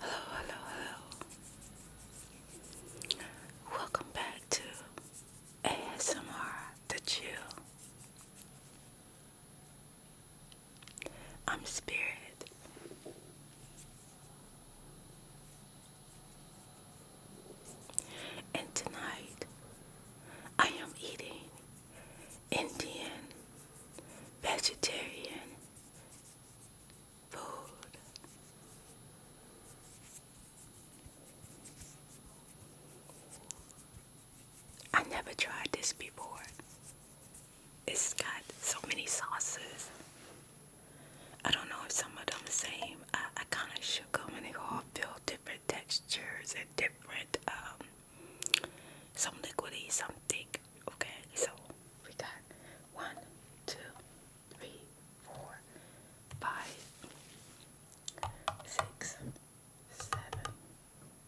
Hello, hello, hello. Welcome back to ASMR The Chill. I'm Spirit. And tonight I am eating Indian vegetarian I never tried this before. It's got so many sauces. I don't know if some of them the same. I, I kind of shook them and they all feel different textures and different. Um, some liquidy, some thick. Okay, so we got one, two, three, four, five, six, seven,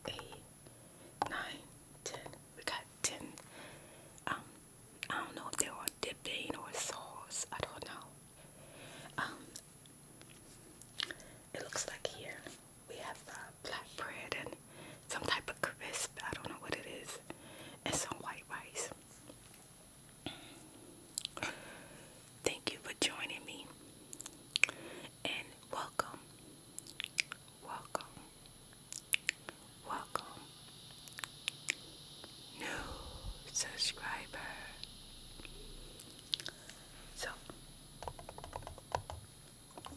eight, nine, ten. We got ten. Um, I don't know if they were dipped in or sauce. I don't know. Um, it looks like here we have uh, black and on some type of crisp, I don't know what it is, and some white rice. Thank you for joining me and welcome, welcome, welcome, new subscriber. So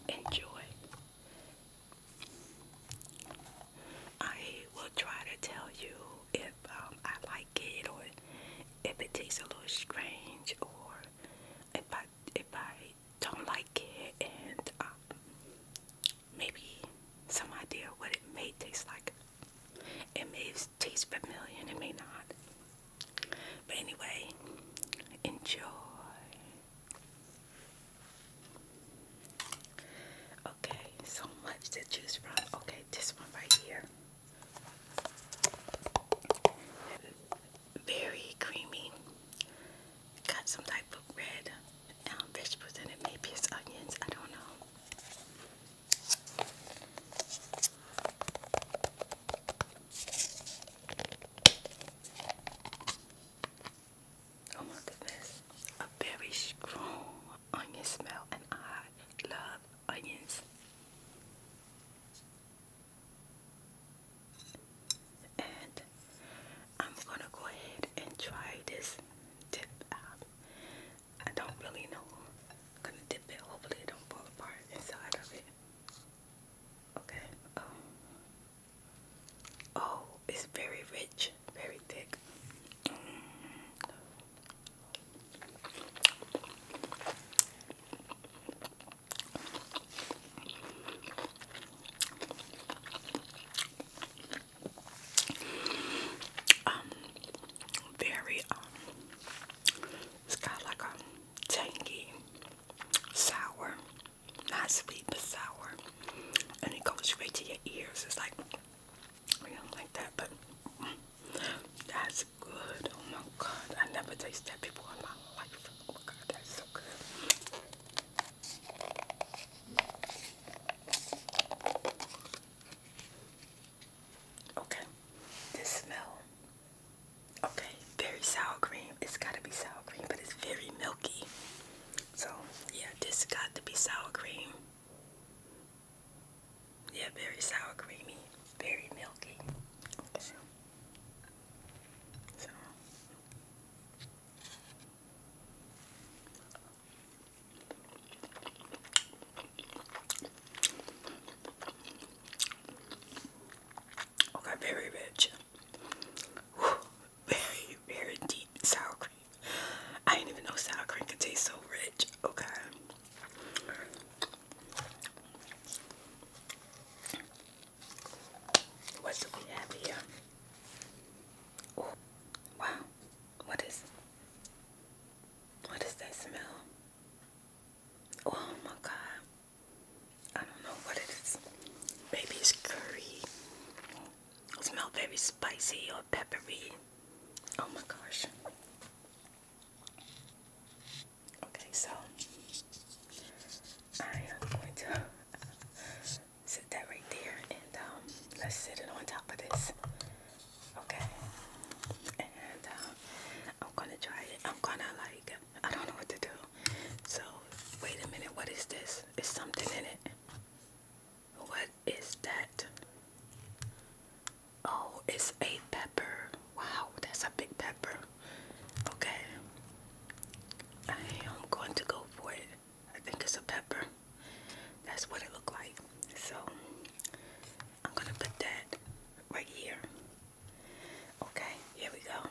enjoy I will try to tell you if um, I like it or if it tastes a little strange or if I if I don't like it and um, maybe some idea what it may taste like. It may taste familiar and it may not. But anyway, enjoy. Okay, so much to choose from. Okay, this one right here. Very creamy. Got some type of red um, vegetables in it. Maybe it's onions. I don't know. Oh my goodness. A very strong onion smell and I love onions. And I'm gonna go ahead and try this dip I don't really know. I'm gonna dip it. Hopefully it don't fall apart inside of it. Okay. Oh. Oh, it's very rich, very thick. Um, very um, it's got like a tangy, sour not sweet but sour, and it goes straight to your ears. It's like you know, like that, but that's good. Oh my God, I never tasted that before in my life. Oh my God, that's so good. Okay, this smell. Okay, very sour cream. It's gotta be sour cream, but it's very milky. So, yeah, this got to be sour cream. Yeah, very sour creamy, very milky. Okay, very rich very, very deep sour cream. I didn't even know sour cream could taste so rich. Okay. What do we have here? Ooh. Wow. What is what is that smell? Oh my god. I don't know what it is. Maybe curry smell very spicy or peppery. Oh my gosh. Okay, so I am going to sit that right there and um, let's sit it on top of this. Okay, and um, I'm gonna try it. I'm gonna like, I don't know what to do. So, wait a minute, what is this? Is something in it? What is that? Oh, it's a pepper. Wow, that's a big pepper. Okay. I am going to go for it. I think it's a pepper. That's what it looked like. So I'm gonna put that right here. Okay, here we go.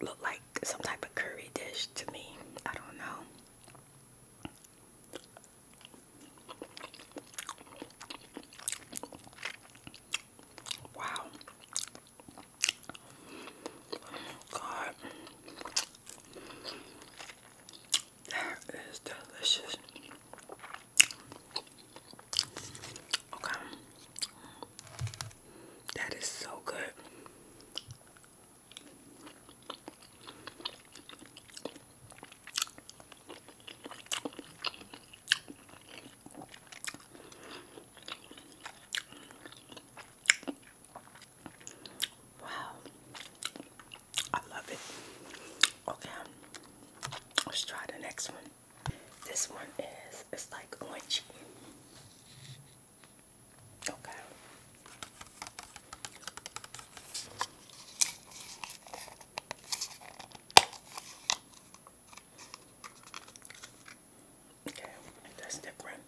Look like some type of curry dish to me. I don't know. Wow. God. That is delicious. Okay. That is so good. Wow, I love it. Okay, let's try the next one. This one is it's like orange. Okay. Okay, that's different.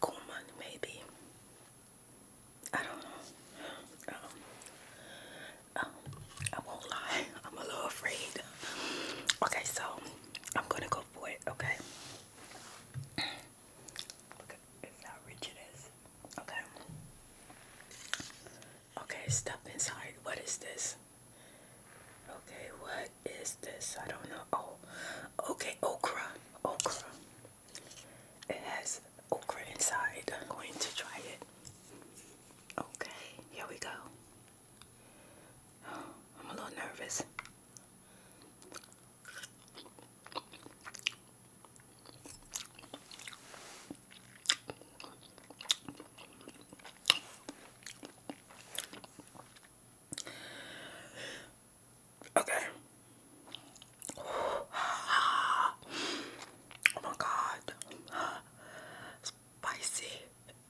Coleman, maybe. I don't know. Um, um, I won't lie, I'm a little afraid. Okay, so I'm gonna go for it, okay? Look at how rich it is. Okay. Okay, step inside. What is this? Okay, what is this? I don't know. Oh, okay, okra. Okra. It has okra inside. I'm going to try it. Okay, here we go. I'm a little nervous. Okay. Oh my god spicy.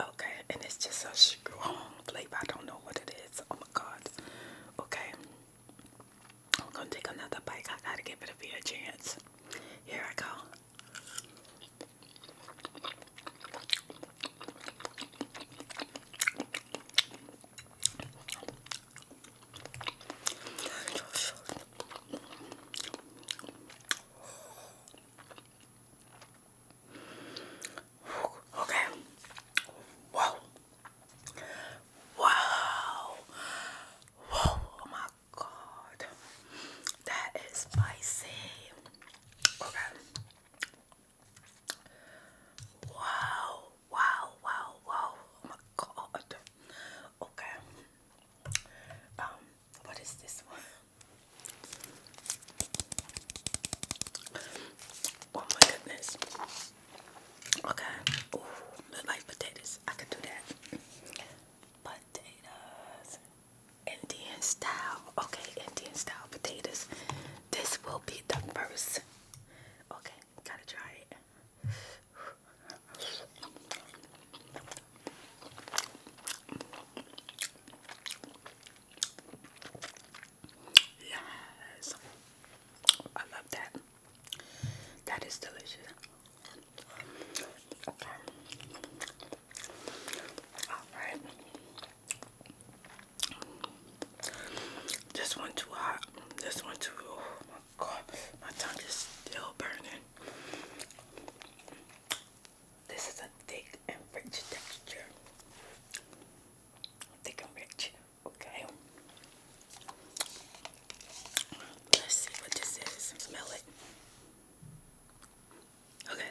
Okay, and it's just a strong flavor. I don't know what it is. Oh my god. Okay. I'm gonna take another bite. I gotta give it a fair chance. Here I go. Okay. Whoa. Wow. Oh my god. That is spicy. Okay. Wow. Wow. Wow. Wow. Oh my god. Okay. Um, what is this one? Oh my goodness. Okay. Ooh, like potatoes. I could do that. Potatoes. Indian style. Okay, Indian style potatoes. This will be the first. Okay, gotta try it. Yes. I love that. That is delicious. Okay. All right. This one too hot. This one too. Oh my god, my tongue is still burning. This is a thick and rich texture. Thick and rich. Okay. Let's see what this is. Smell it. Okay.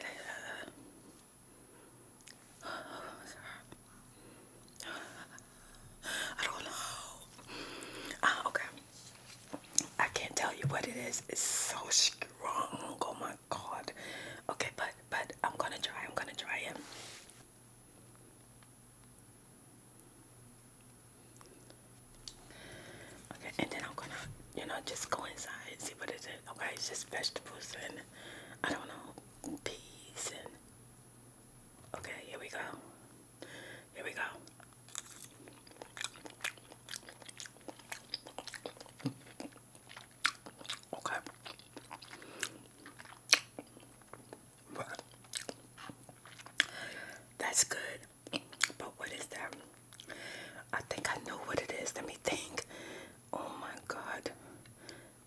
I don't know. Uh, okay. I can't tell you what it is. It's so strong. Oh my god. Okay, but but I'm gonna try. I'm gonna try it. Okay, and then I'm gonna, you know, just go inside and see what is it. Okay, it's just vegetables and I don't know, peas and. Okay, here we go. Here we go. Okay. Well, that's good. But what is that? I think I know what it is. Let me think. Oh my god.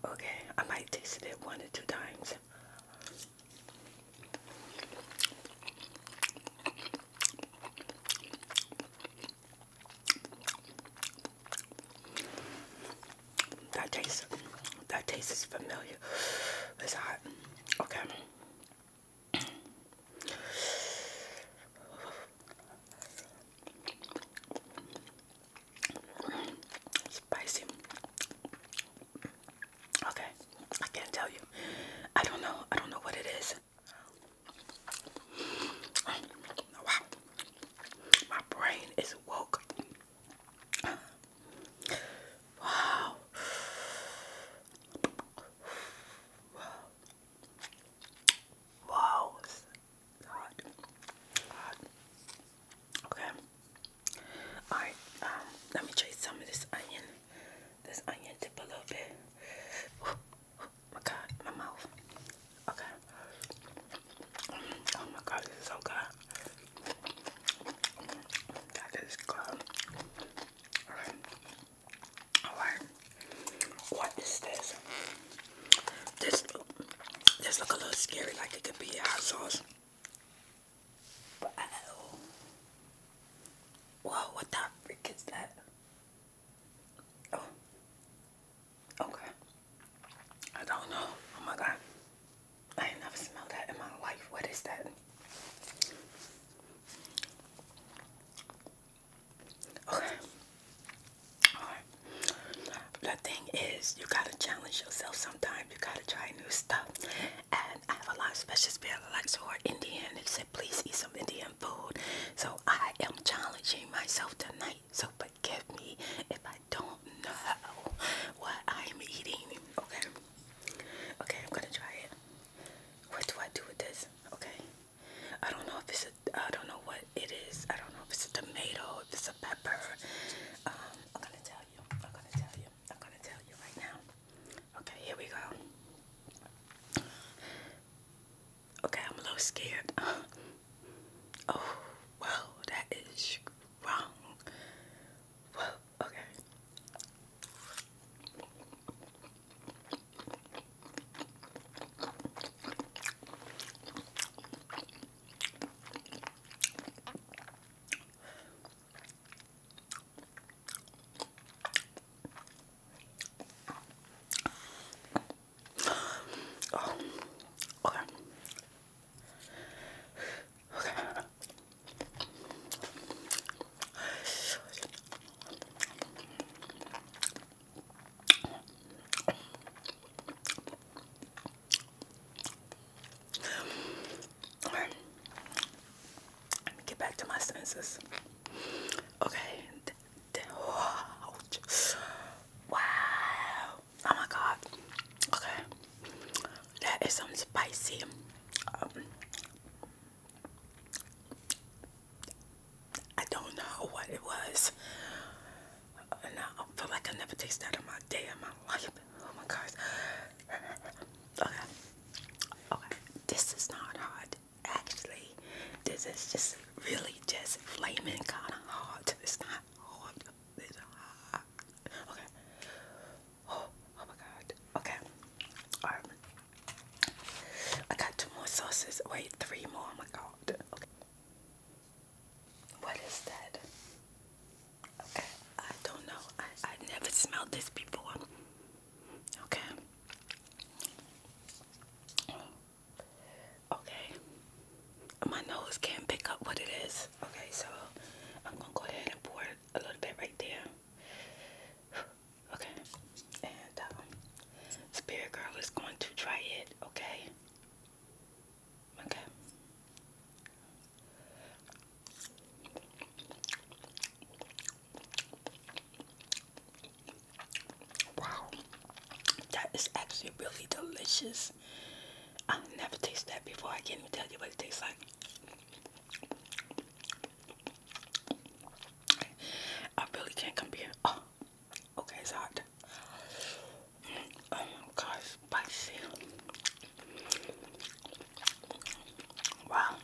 Okay, I might taste it one or two times. That tastes that taste is familiar. It's hot. Okay. Spicy. Okay. I can't tell you. I don't know. I don't know what it is. Wow. My brain is woke. Wow. Wow. Wow. Hot. Okay. Alright, um, let me chase some of this onion. This onion dip a little bit my god, my mouth. Okay. Oh my god, this is so good. That is good. Alright. Alright. What is this? This this a little scary like it could be hot sauce. Whoa, what the freak is that? Oh. Okay. I don't know. Oh my god. I ain't never smelled that in my life. What is that? Okay. Alright. The thing is, you gotta challenge yourself sometimes. You gotta try new stuff. And I have a lot of special people that like to order Indian. They said, please eat some Indian food. So I am challenging myself tonight so forgive me if I don't know what I'm eating. Okay. Okay, I'm gonna try it. What do I do with this? Okay. I don't know if it's a. I don't know what it is. I don't know if it's a tomato. If it's a pepper. Um, I'm gonna tell you. I'm gonna tell you. I'm gonna tell you right now. Okay, here we go. Okay, I'm a little scared. oh, wow, that is wrong. Whoa, okay. Oh. okay. Okay. Let me get back to my senses. Okay, Wow. Oh my god. Okay. That is some spicy. Um, I don't know what it was. And uh, I feel like I never taste that in my day in my life. Oh my gosh. Okay. Okay. This is not hot. Actually, this is just really just flaming kind of hot. It's not hot. It's hot. Okay. Oh, oh, my God. Okay. I got two more sauces. Wait, three more. Oh my God. Okay. What is that? Okay. I don't know. I, I never smelled this before. Okay. Okay. My nose can't pick up what it is. Okay, so I'm gonna go ahead and pour a little bit right there. Okay. And um, Spirit Girl is going to try it. Okay. Okay. Wow, that is actually really delicious. I've never tasted that before. I can't even tell you what it tastes like. I really can't compare. Oh, okay, it's hot. Oh my gosh, spicy. Wow,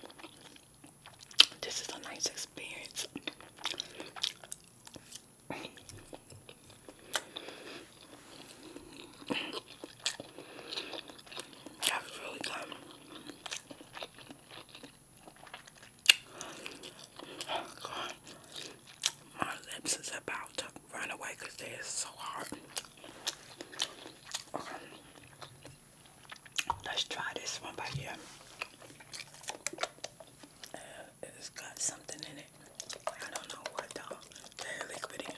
this is a nice experience. That was really good. Oh, my lips is about to run away because they are so hard. Let's try this one by ear. Uh, it's got something in it. I don't know what though. Very liquidy.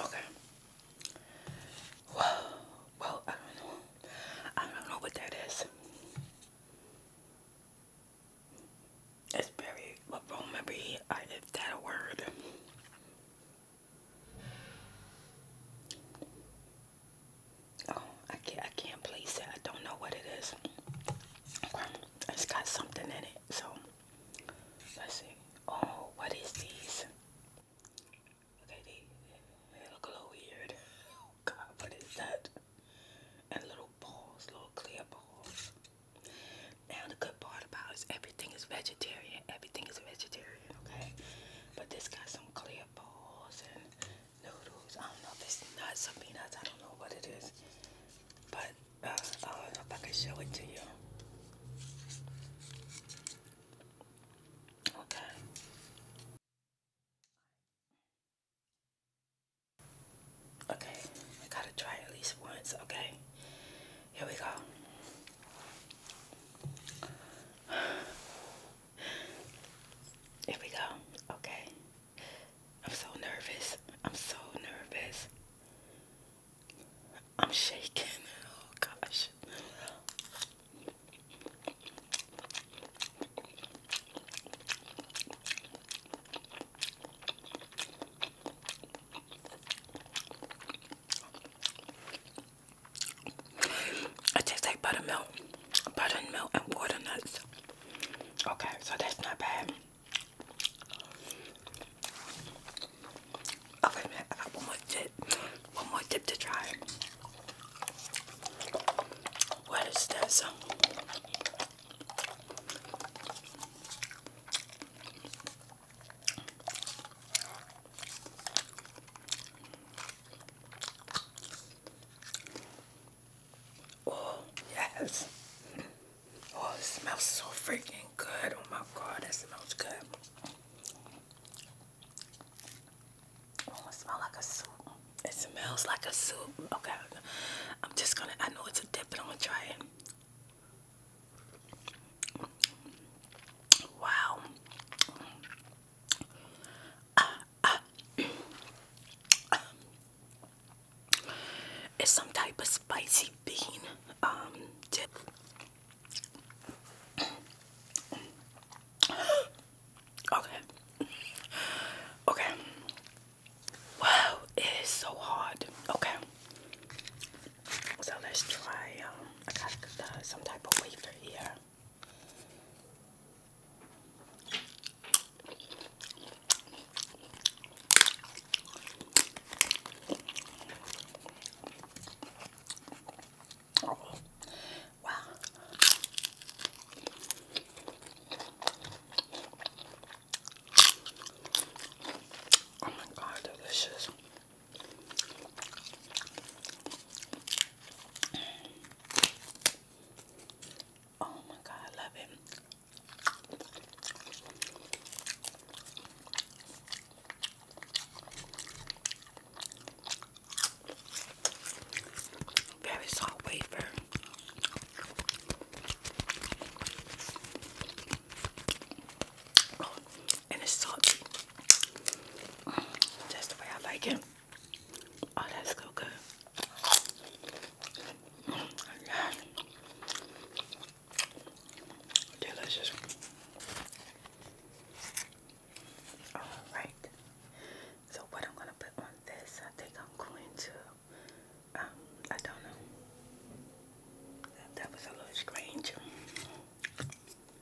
okay. Well, well, I don't know. I don't know what that is. It's very, I do that word. Oh, I can't, I can't place it. I don't know what it is. It's got something in it. So, let's see. Oh, what is these? Okay, they, they look a little weird. Oh, God, what is that? And little balls, little clear balls. Now, the good part about it is everything is vegetarian. Everything is vegetarian okay? But this got some clear bowls and noodles. I don't know if it's nuts or peanuts. I don't know what it is. But uh, I don't know if I can show it to you. Okay. Okay, I gotta try at least once, okay? Here we go. Here we go. Okay. I'm so nervous. I'm so nervous. I'm shaking. Oh gosh. It tastes like buttermilk, buttermilk and water nuts. Okay, so that's not bad. Okay, one more tip. One more tip to try. What is this? Oh, yes. Oh, it smells so freaking good. Oh my god, that smells good. Oh, it smells like a soup. It smells like a soup. Okay. I'm just gonna I know it's a dip, but I'm gonna try it. Wow. it's some type of spicy bean um, dip. okay. Okay. Wow, it is so hard. Okay. So let's try. Um, uh, some type of wafer here. Oh, wow. Oh my god, delicious. Oh my god, I love it. Very soft wafer. Oh, and it's salty. That's the way I like it. Oh, that's so good. Delicious. Alright. So what I'm gonna put on this, I think I'm going to um, I don't know. that was a little strange.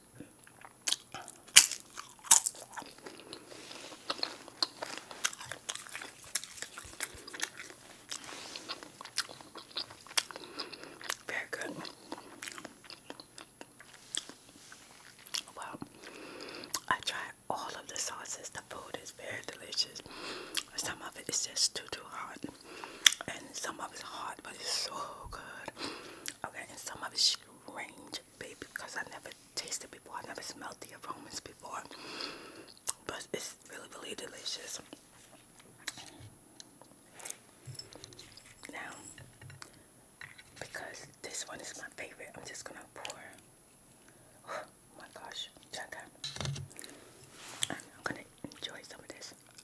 Very good. Well, I tried all of the sauces. The food is very delicious. Some of it is just too too hot and some of it's hot, but it's so good. Okay, and some of it's strange, baby, because I never tasted before. I have never smelled the aromas before, but it's really, really delicious. Now, because this one is my favorite, I'm just gonna pour. Oh my gosh, check out. I'm gonna enjoy some of this.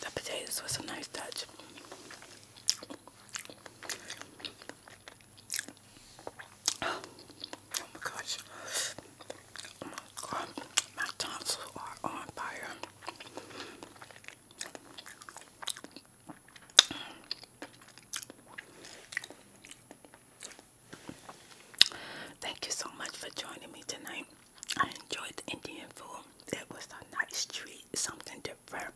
The potatoes was a nice touch. Oh my gosh. Oh my tonsils are on fire. Thank you so much for joining me tonight. I enjoyed the Indian food. It was a nice treat, something different.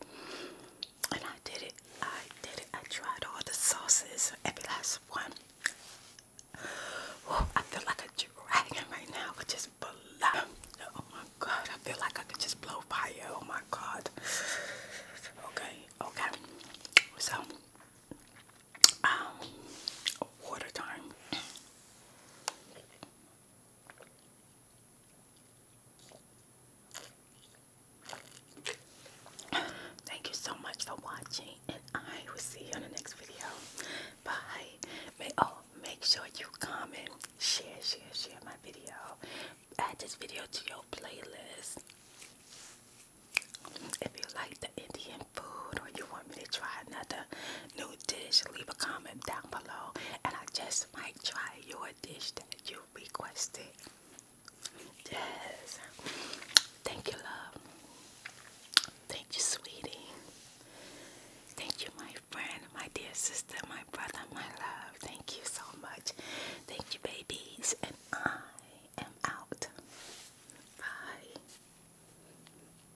And I did it. I did it. I tried all the sauces, every last one. Whoa, I feel like a dragon right now. I just blow. Oh my god, I feel like I could just blow fire. Oh my god. Okay, okay. So, um, water time. Thank you so much for watching, and I will see you in the next video. Bye. oh, make sure you comment, share, share, share my video. Add this video to your playlist. If you like the Indian food or you want want me try another new dish, leave a comment down below, and I just might try your dish that you requested. Yes. Thank you, love. Thank you, sweetie. Thank you, my friend, my dear sister, my brother, my love. Thank you so much. Thank you, babies. And I am out. Bye.